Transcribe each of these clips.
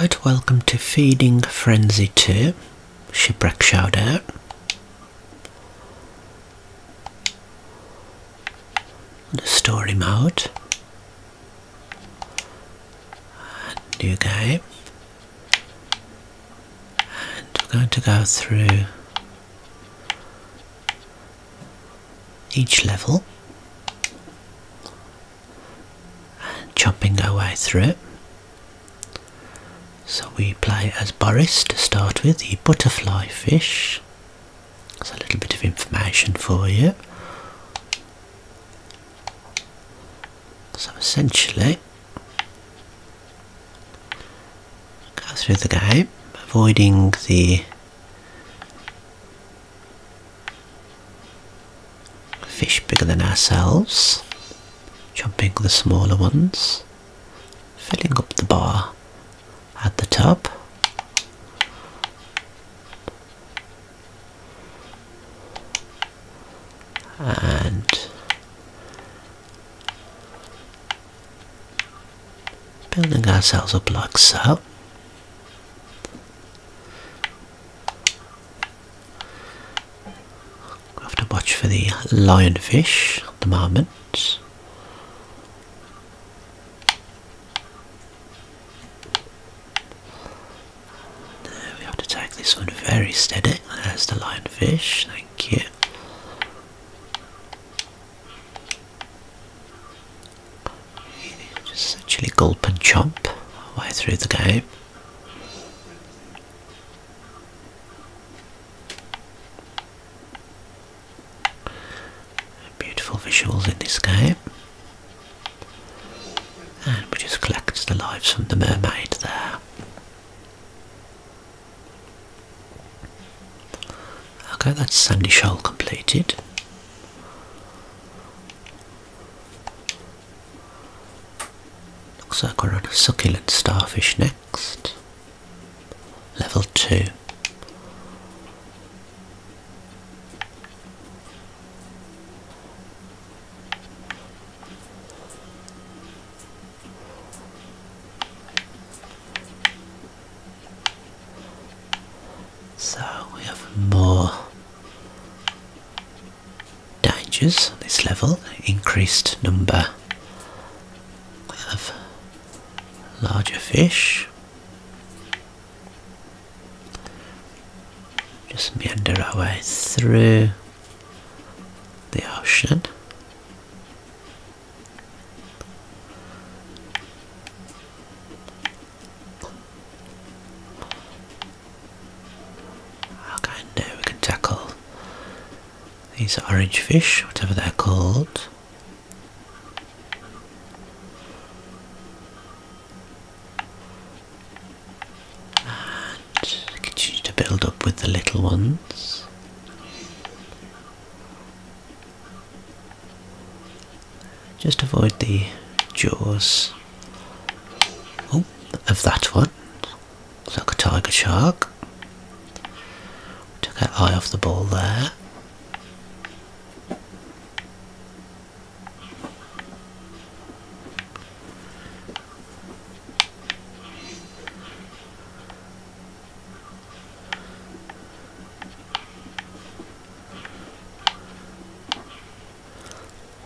Right, welcome to Feeding Frenzy 2, Shipwreck Shoutout. Store him out. And new game. And we're going to go through each level chopping our way through. So we play as Boris to start with, the butterfly fish. That's a little bit of information for you. So essentially, go through the game, avoiding the Fish bigger than ourselves, jumping the smaller ones, filling up the bar at the top. And building ourselves a block cell. We have to watch for the lionfish at the moment. There, we have to take this one very steady. There's the lionfish, thank you. Just actually gulp and chomp our way through the game. Beautiful visuals in this game. And we just collect the lives from the mermaid there. Okay, that's Sandy Shoal completed. Looks like we're on a succulent starfish next. Level 2. So we have more dangers on this level, increased number of larger fish. Just meander our way through the ocean. Okay, now uh, we can tackle these orange fish, whatever they're called. And continue to build up with the little ones. Just avoid the jaws oh, of that one. It's like a tiger shark. Took that eye off the ball there.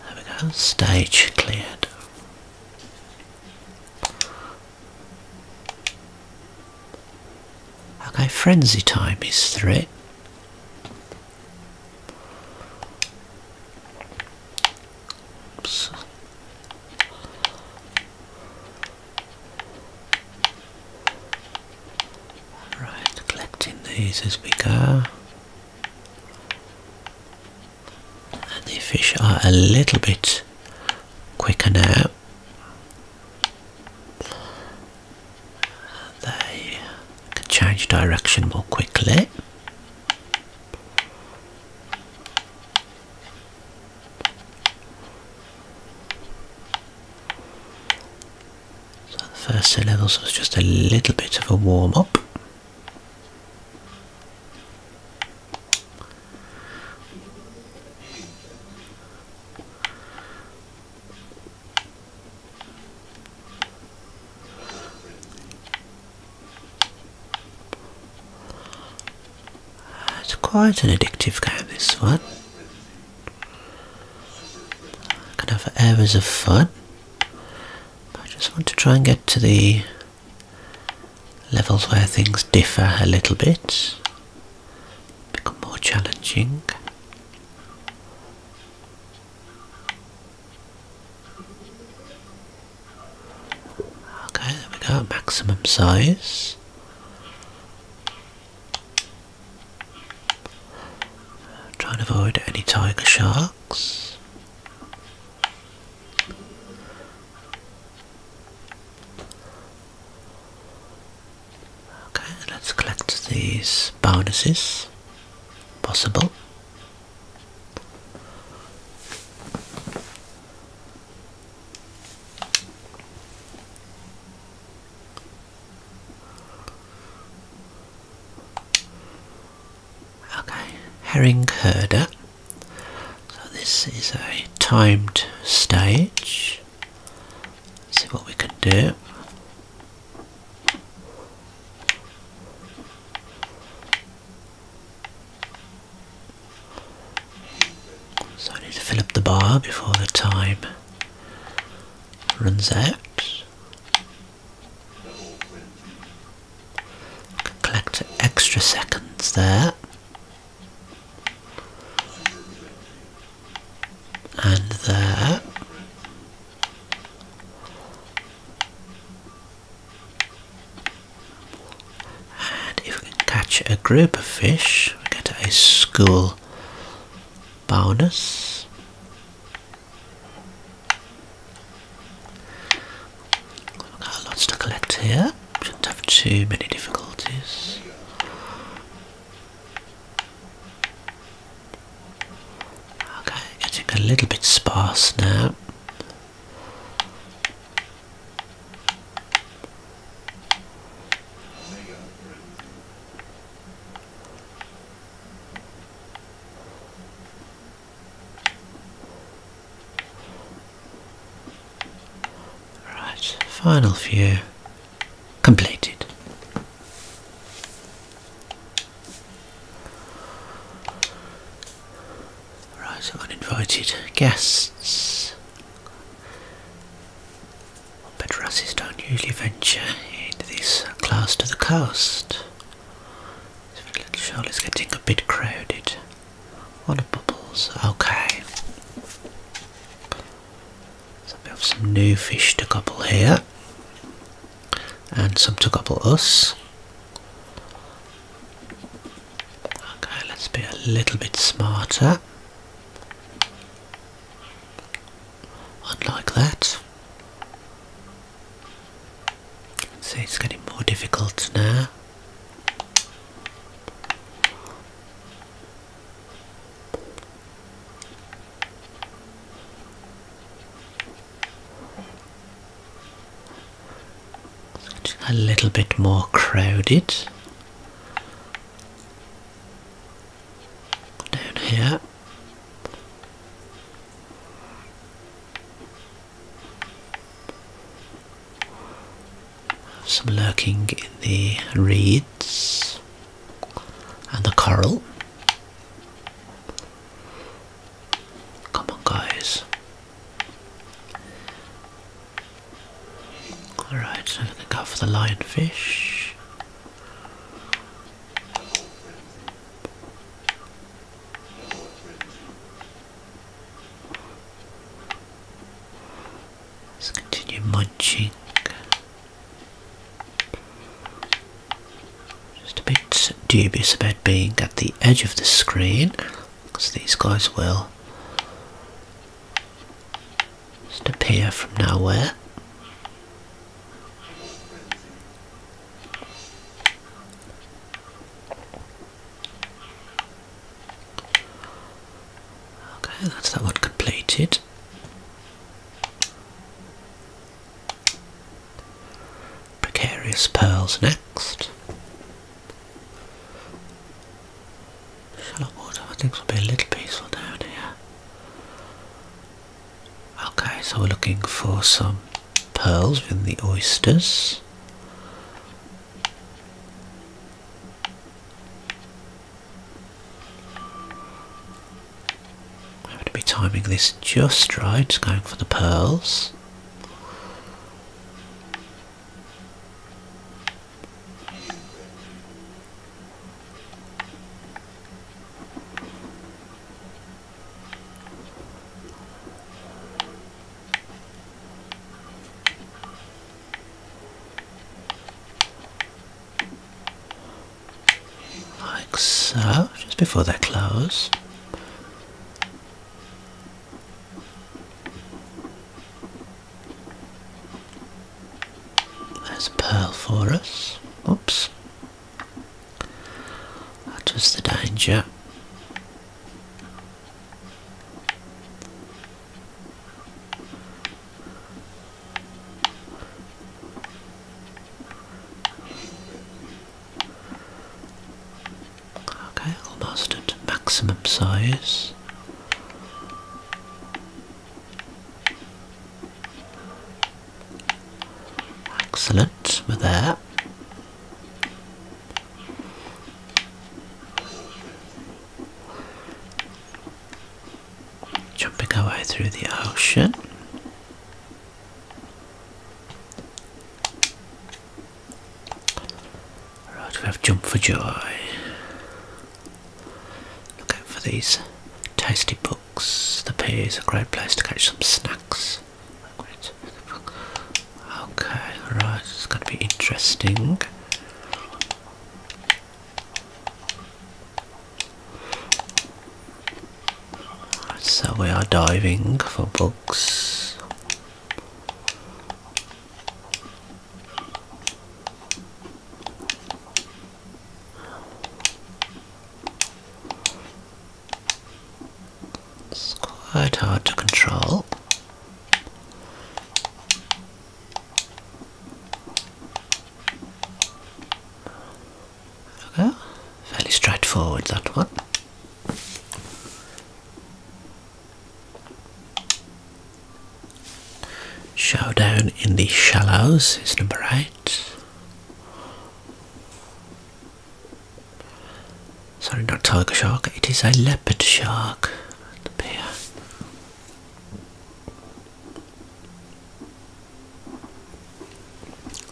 There we go, stage cleared. Okay, frenzy time is three. Oops. Right, collecting these as we go. And the fish are a little bit quicker now. They can change direction more quickly. So the first two levels was just a little bit of a warm-up. It's quite an addictive game this one. I can hours of fun. I just want to try and get to the levels where things differ a little bit, become more challenging. Okay, there we go, maximum size. Trying to avoid any tiger sharks. Okay, let's collect these bonuses. Possible. Okay, herring herder. So this is a timed stage. see what we can do. So I need to fill up the bar before the time runs out. collect extra seconds there. And there. And if we can catch a group of fish, get a school bonus. lots to collect here. Shouldn't have too many difficulties. Okay, getting a little bit sparse now. Right, final view completed. Right, uninvited guests but Russes don't usually venture into this class to the coast. So the little shoal is getting a bit crowded. What of bubbles, okay. So we have some new fish to couple here. And some to couple us. Okay, let's be a little bit smarter. Unlike that. So it's getting more difficult now. a little bit more crowded down here. Some lurking in the reeds and the coral. Come on, guys. Alright, so I'm for the lionfish. let continue munching. Just a bit dubious about being at the edge of the screen because these guys will just appear from nowhere. Okay, that's that one completed. Precarious Pearls next shallow water, I think will be a little peaceful down here. Okay, so we're looking for some pearls within the oysters. I'm going to be timing this just right, going for the pearls. Like so, just before they close. There's a pearl for us. Oops. That was the danger. Okay, almost at maximum size. Excellent, we're there. Jumping our way through the ocean. Right, we have Jump for Joy. Look out for these tasty books. The pier is a great place to catch some snacks. Okay, right, is going to be interesting. so we are diving for books. It's quite hard to control. Okay, fairly straightforward that one. Showdown in the Shallows is number 8. Sorry, not tiger shark, it is a leopard shark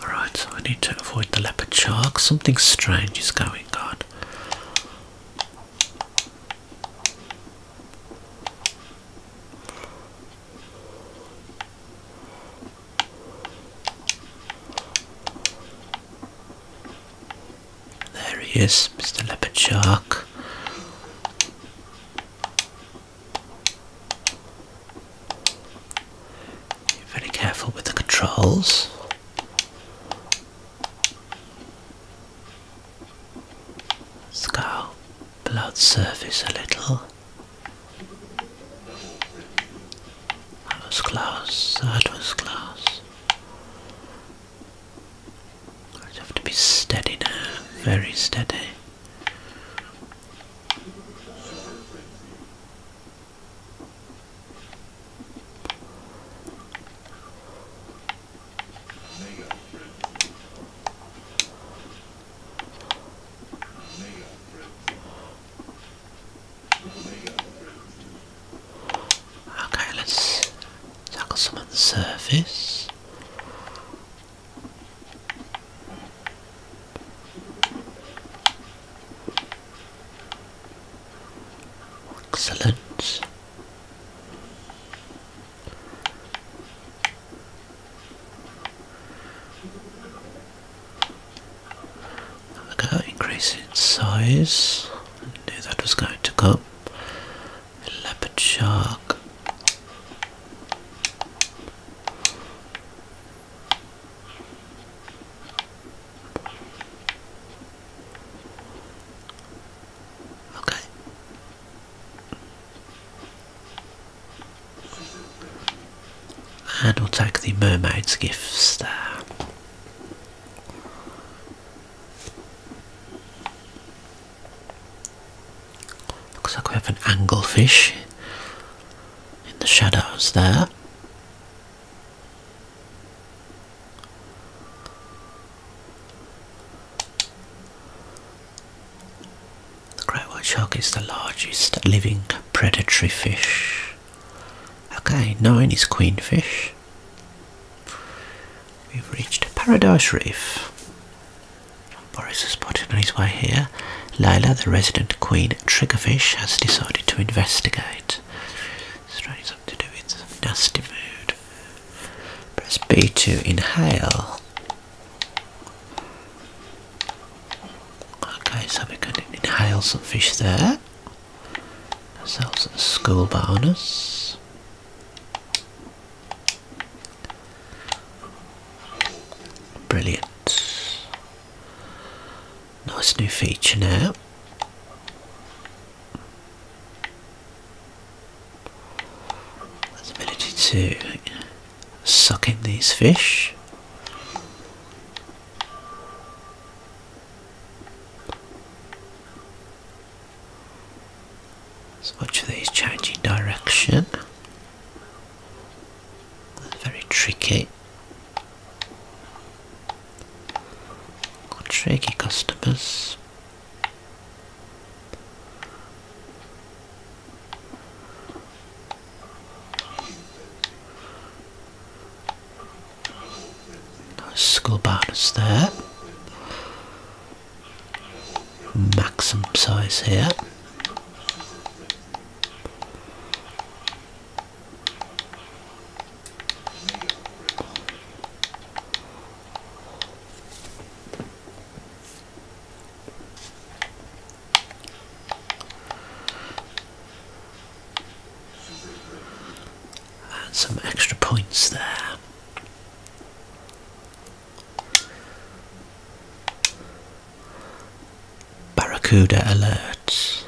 Alright, I need to avoid the leopard shark. Something strange is going on. There he is, Mr. Leopard Shark. very careful with the controls. Scowl blood surface a little. That was close, that was close. I just have to be steady now, very steady. Okay, let's tackle some of the surface. Excellent. Look at increase in size. knew that was going to come. leopard shark. Okay. And we'll take the mermaid's gifts there. Looks like we have an anglefish in the shadows there. The great white shark is the largest living predatory fish. Okay, nine is queenfish. We've reached Paradise Reef. Boris has spotted on his way here. Layla, the resident queen triggerfish, has decided to investigate. Strange something to do with nasty mood. Press B to inhale. Okay, so we can inhale some fish there. Ourselves a school bonus. Brilliant. Nice new feature now. His ability to suck in these fish. Watch these changing direction. Very tricky. Got tricky customers. Nice skull bonus there. Maximum size here. And some extra points there. Barracuda alert.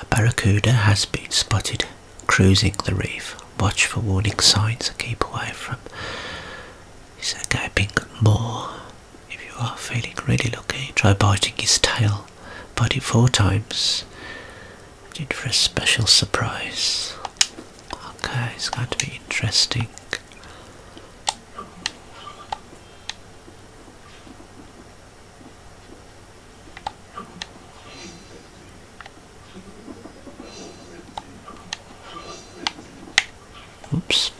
A barracuda has been spotted cruising the reef. Watch for warning signs and keep away from. He's a gaping maw. If you are feeling really lucky, try biting his tail. Bite it four times. And in for a special surprise. Okay, it's going to be interesting. Oops.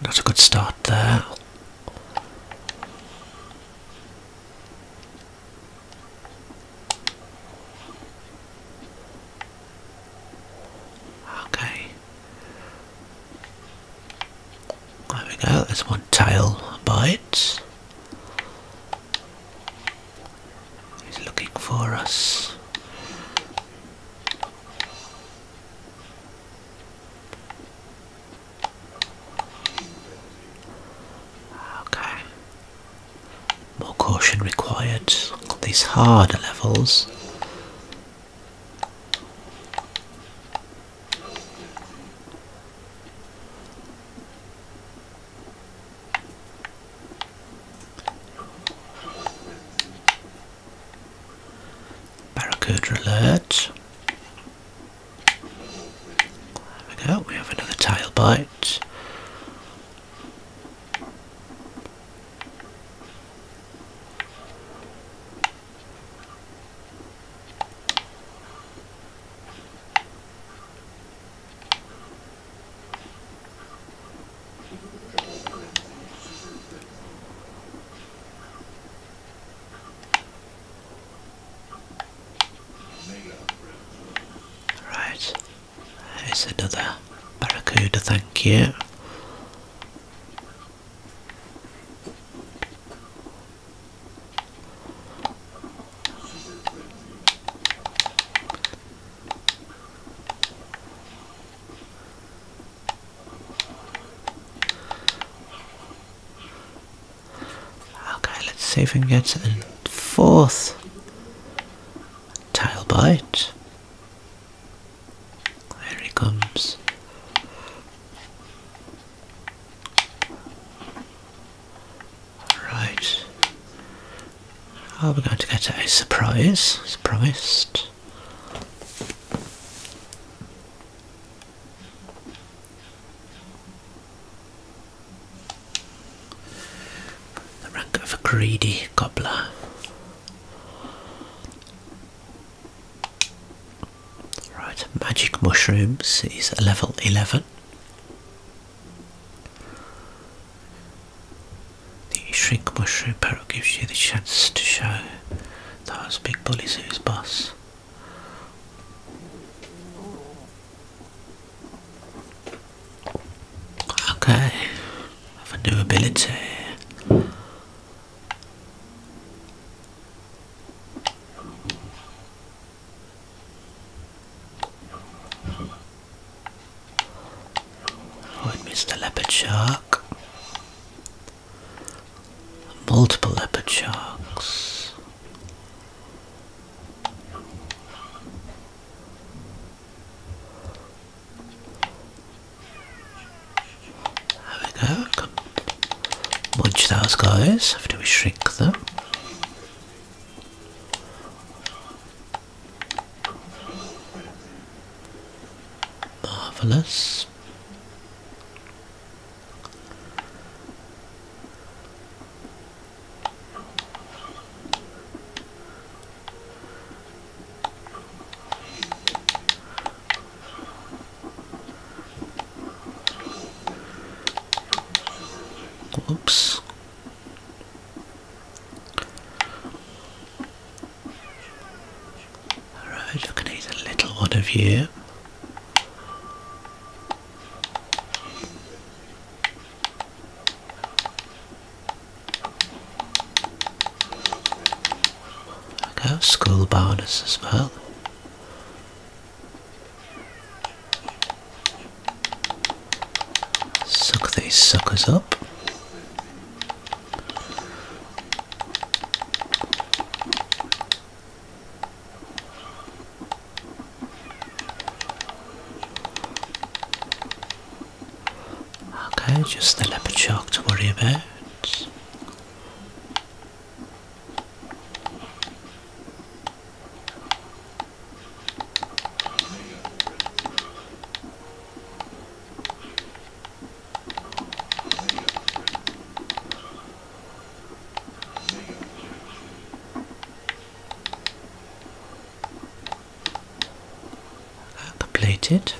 That's a good start there. Okay. There we go, there's one tail bite. He's looking for us. Okay. More caution required on these harder levels. Barracuda alert. There we go, we have another tail bite. Right, there's another barracuda, thank you. Okay, let's see if we can get a fourth tail bite. There he comes. Right. Oh, we going to get a surprise, Surprised. The rank of a greedy gobbler. Right, magic mushrooms is level 11. The shrink mushroom parrot gives you the chance to show those big bullies who's boss. Okay, have a new ability. Oh, it leopard shark. Multiple leopard sharks. There we go. Watch those guys after we shrink them. Marvellous. Oops. Alright, I'm going little one of you. go, school bonus as well. Suck these suckers up. Okay, just the leopard shark to worry about the it.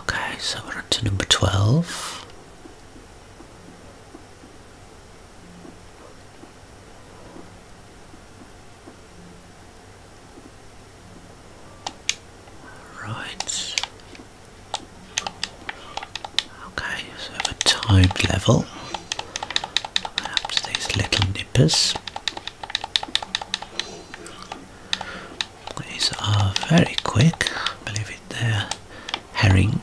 Okay, so we're up to number 12. Right. Okay, so the timed level. Perhaps these little nippers. These are very quick, I believe it they're herring.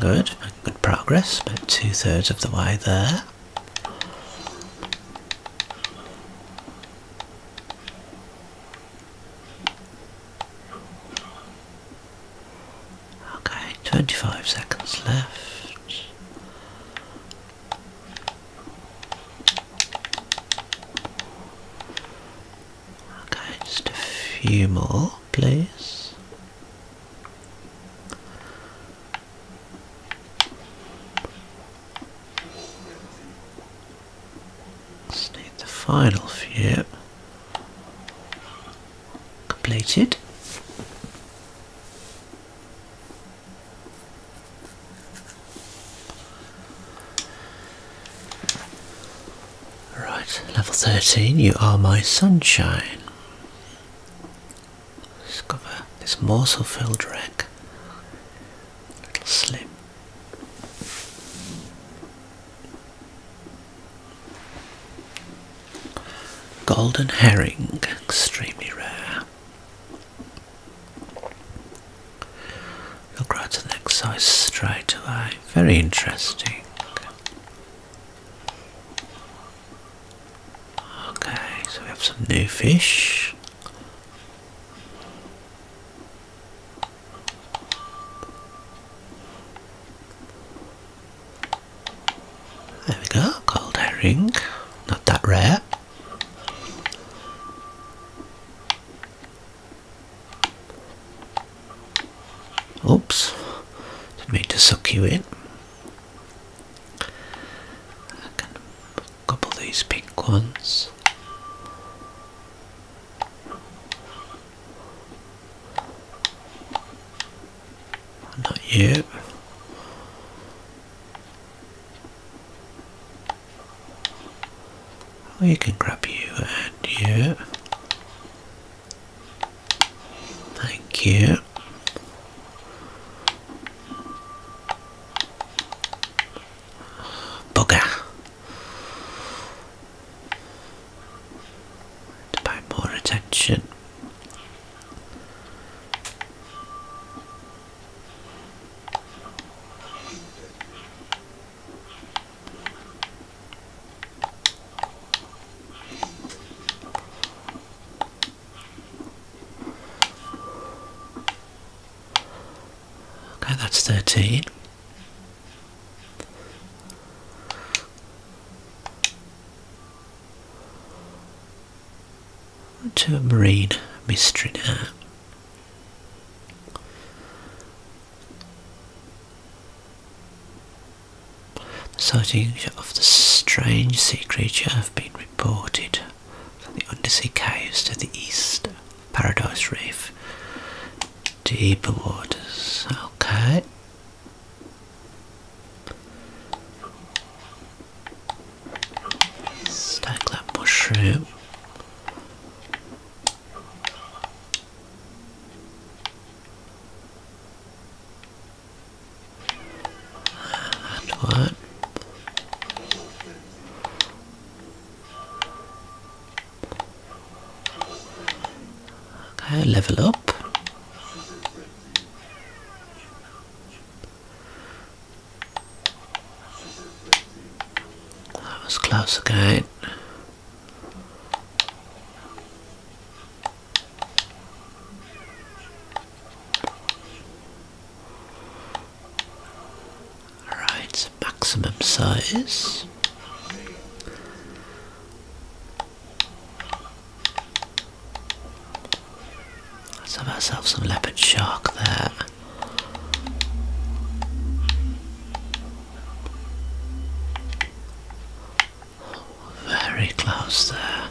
Good. Good progress, about two thirds of the way there. Okay, 25 seconds left. Okay, just a few more, please. Just need the final few completed. Right, level 13, you are my sunshine. Discover this morsel filled wreck. Little slip. Golden herring, extremely rare. You'll next size straight away. Very interesting. Okay, so we have some new fish. There we go, cold herring, not that rare. Oops, didn't mean to suck you in. can couple these pink ones. Not yet. We oh, can grab you and you. Thank you. Bugger. To pay more attention. Okay, that's 13. To a marine mystery now. The sightings of the strange sea creature have been reported from the undersea caves to the east Paradise Reef. Deeper waters, okay. Stack that mushroom what? Okay, level up. That was close again. Alright, maximum size. Let's have ourselves some leopard shark there. Very close there.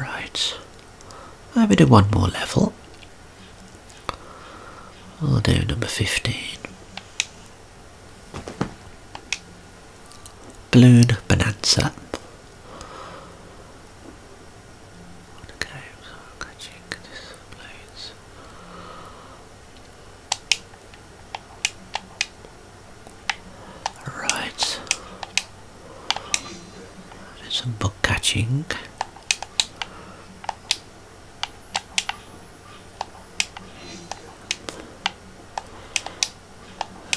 Right, maybe do one more level. I'll do number 15. Blue Bonanza. What a catching this some bug catching.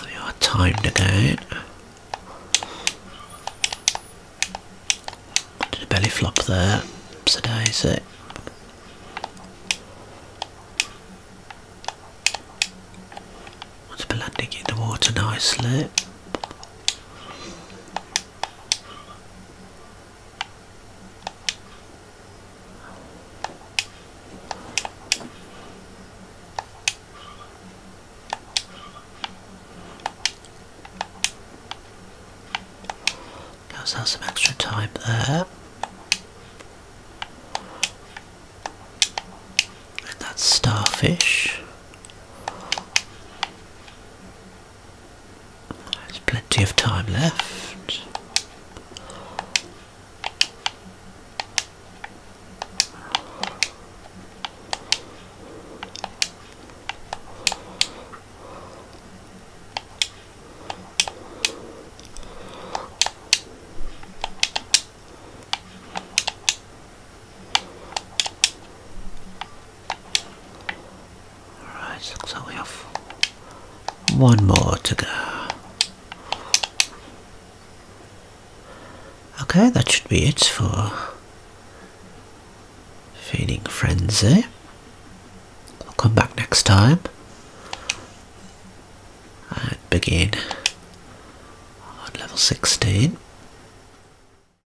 We are timed again. Did a belly flop there, so daisy. It's been in the water nicely. Gives us some extra time there. And that's starfish. There's plenty of time left. Alright, looks we have one more to go. Okay, that should be it for Feeding Frenzy. I'll eh? come back next time and begin on level 16.